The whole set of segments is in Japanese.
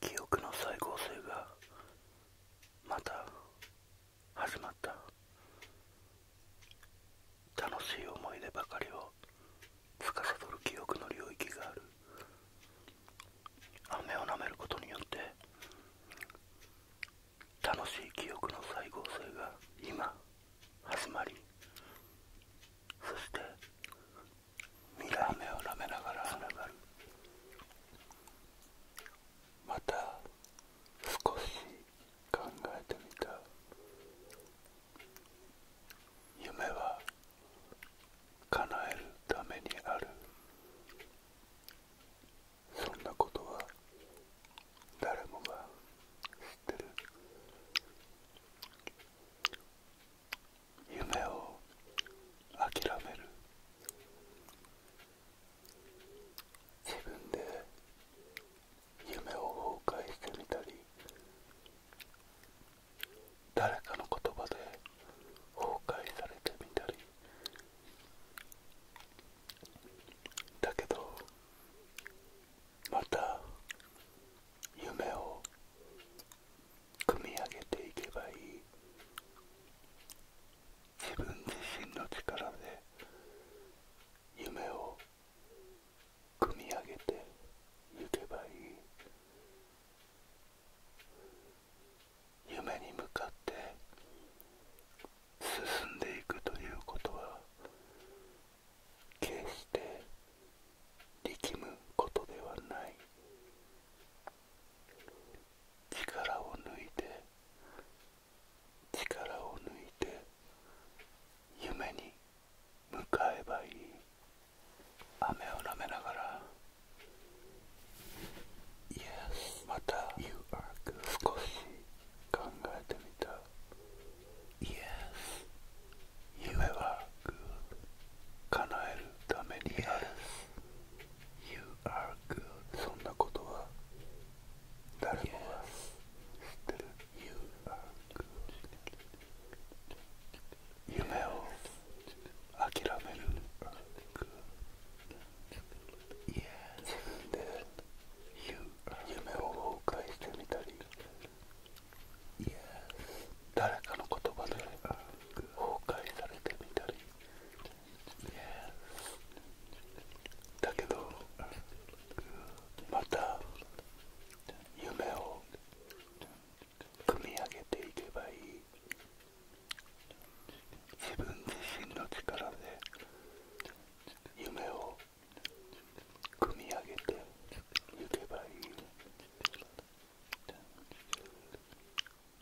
記憶の再構成がまた始まった楽しい思い出ばかりをつかさどる記憶の領域がある雨を舐めることによって楽しい記憶の再合成が今始まりそしてミラー飴を舐めながらつながるまた少し考えてみた夢は叶えるためにあるそんなことは誰もが知ってる夢を諦める自分で夢を崩壊してみたり誰かの言葉で崩壊されてみたりだけどまた夢を組み上げていけばいい自分自身の力で夢を組み上げていけばいい夢に向かって進んでいくということは決して力むことではない力を抜いて力を抜いて夢に向かえばいい雨をなめながら Yes また You are good 少し考えてみた Yes 夢は good 叶えるために Yes You are good そんなことは誰もが知ってる You are good 夢を諦める家で夢を崩壊してみたり誰かの言葉で崩壊されてみたりだけどまた夢を組み上げていけばいい自分自身の力で夢を組み上げていけばいい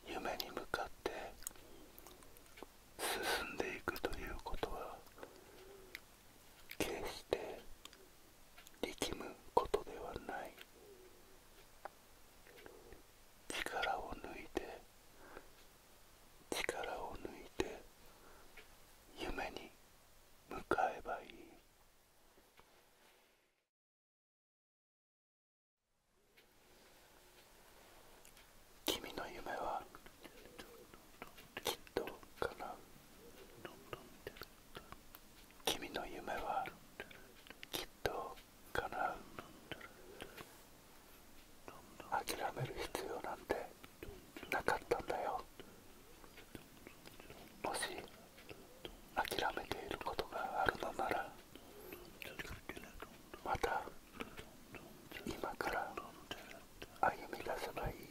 夢に向かって進んでいくということは決して力むことではない力を抜いて力を抜いて夢に向かえばいい君の夢はきっとかなう君の夢はきっと叶う諦める必要なんてなかったんだよもし諦めていることがあるのならまた今から歩み出せばいい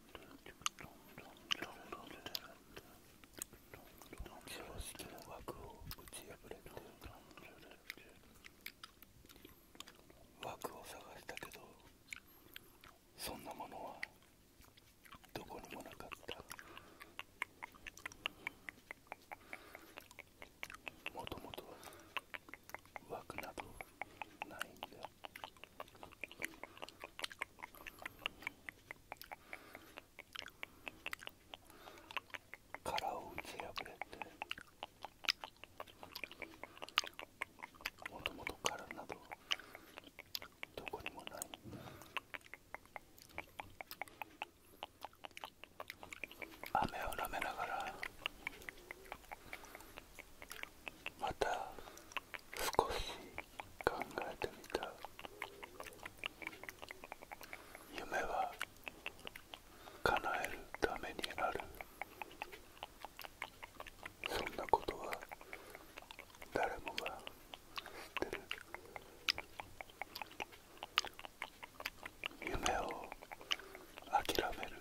常識の枠を打ち破れて枠を探したけどそんなものはどこにもなかったもともと枠などないんだ殻を打ち破れてもともと殻などどこにもない雨を舐めながらまた少し考えてみた夢は叶えるためにあるそんなことは誰もが知ってる夢を諦める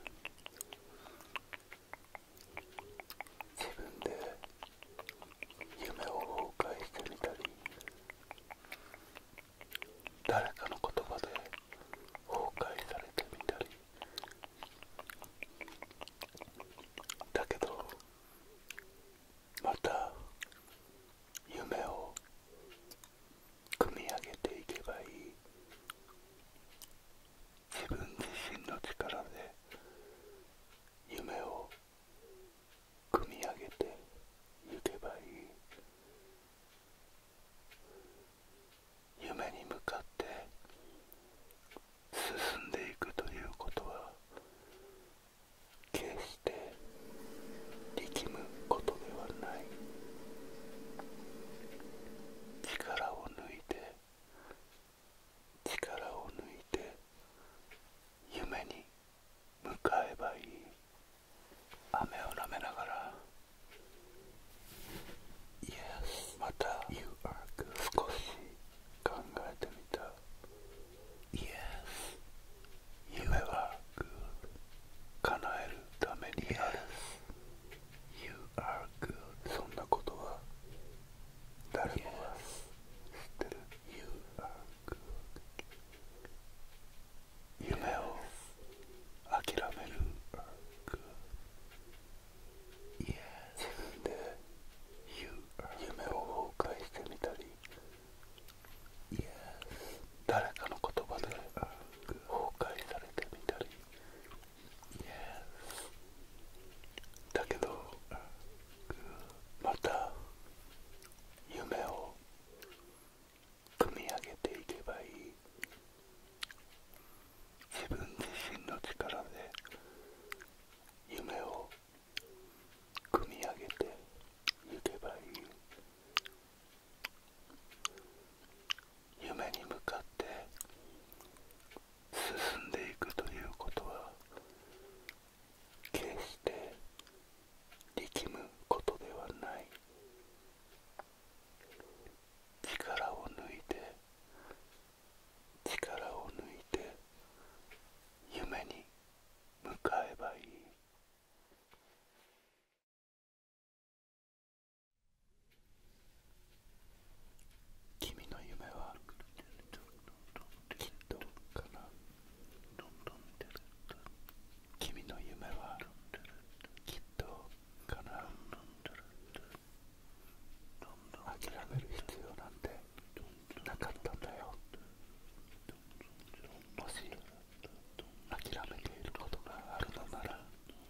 自分で夢を崩壊してみたり誰かの言葉で崩壊されてみたりだけどまた夢を組み上げていけばいい自分自身の力で夢を組み上げてゆけばいい夢に向かって進んでいくということは決して力むことではない力を抜いて力を抜いて夢に向かえばいい雨をなめながら Yes また You are good 少し考えてみた Yes 夢は叶えるためにある Yes You are good そんなことは誰もが知ってる You are good 夢を諦める自分で夢を崩壊してみたり誰かの言葉で崩壊されてみたりだけどまた夢を組み上げていけばいい自分自身の力で夢を組み上げていけばいい夢に向かって進んでいくということは決して力むことではない力を抜いて力を抜いて夢に向かえばいい君の夢はきっとかな君の夢はきっとかな諦める必要なんてなかったんだよもし諦めていることがあるのなら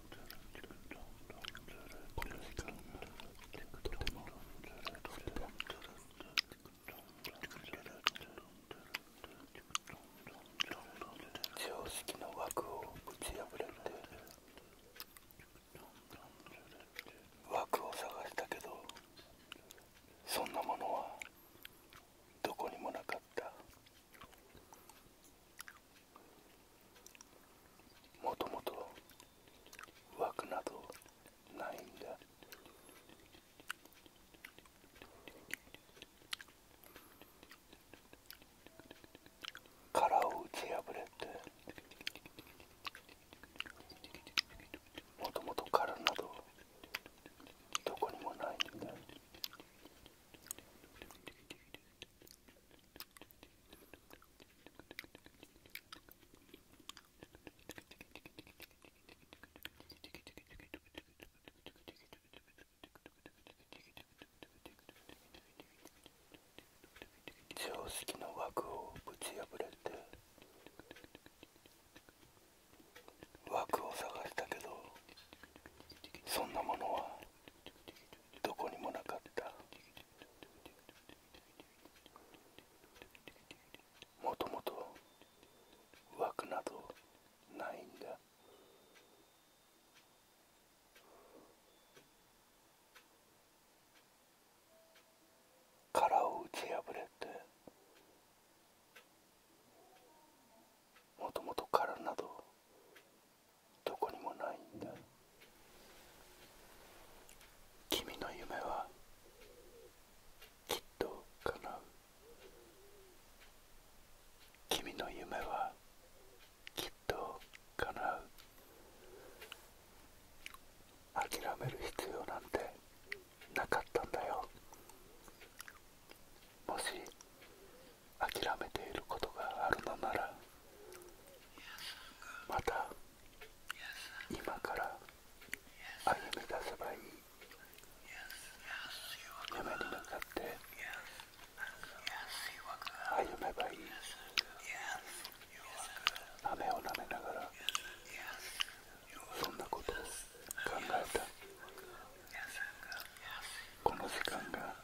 この時間常識の枠を打ち破れて枠を探したけどそんなものはどこにもなかったもともと枠などないんだ殻を打ち破れてもともと殻などどこにもないんだ常識の枠をぶち破れて枠を探したけどそんなものはどこにもなかったもともと枠などないんだ殻を打ち破れてもともと殻などどこにもないんだ君の夢はきっと叶う君の夢はきっと叶う諦める必要なんてなかったんだよもし諦めていることがあるのならまた今から歩み出せばいい夢に向かって歩めばいい雨を舐めながらそんなことを考えたこの時間が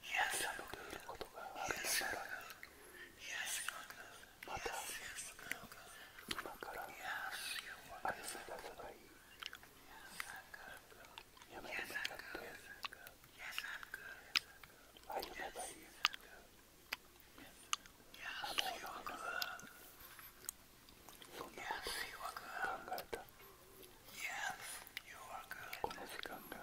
癒されていることがあるのならまた今から愛せ出せばいい夢に向かって歩めばいいあの世の中はそんなことを考えたこの時間が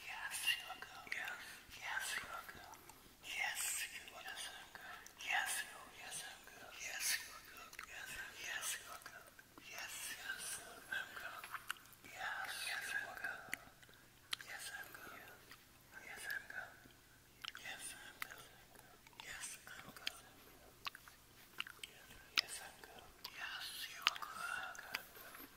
Yes, you are good. Yes. Yes, you are good. Yes, you are yes, I'm good. Yes, you. Yes, I'm good. Yes, you are good. Yes, yes, you are good. Yes, yes, I'm good. Yes, yes, you are good. Yes, I'm good. Yes, I'm good. Yes, I'm good. Yes, I'm good. Yes, I'm good. Yes, you are good.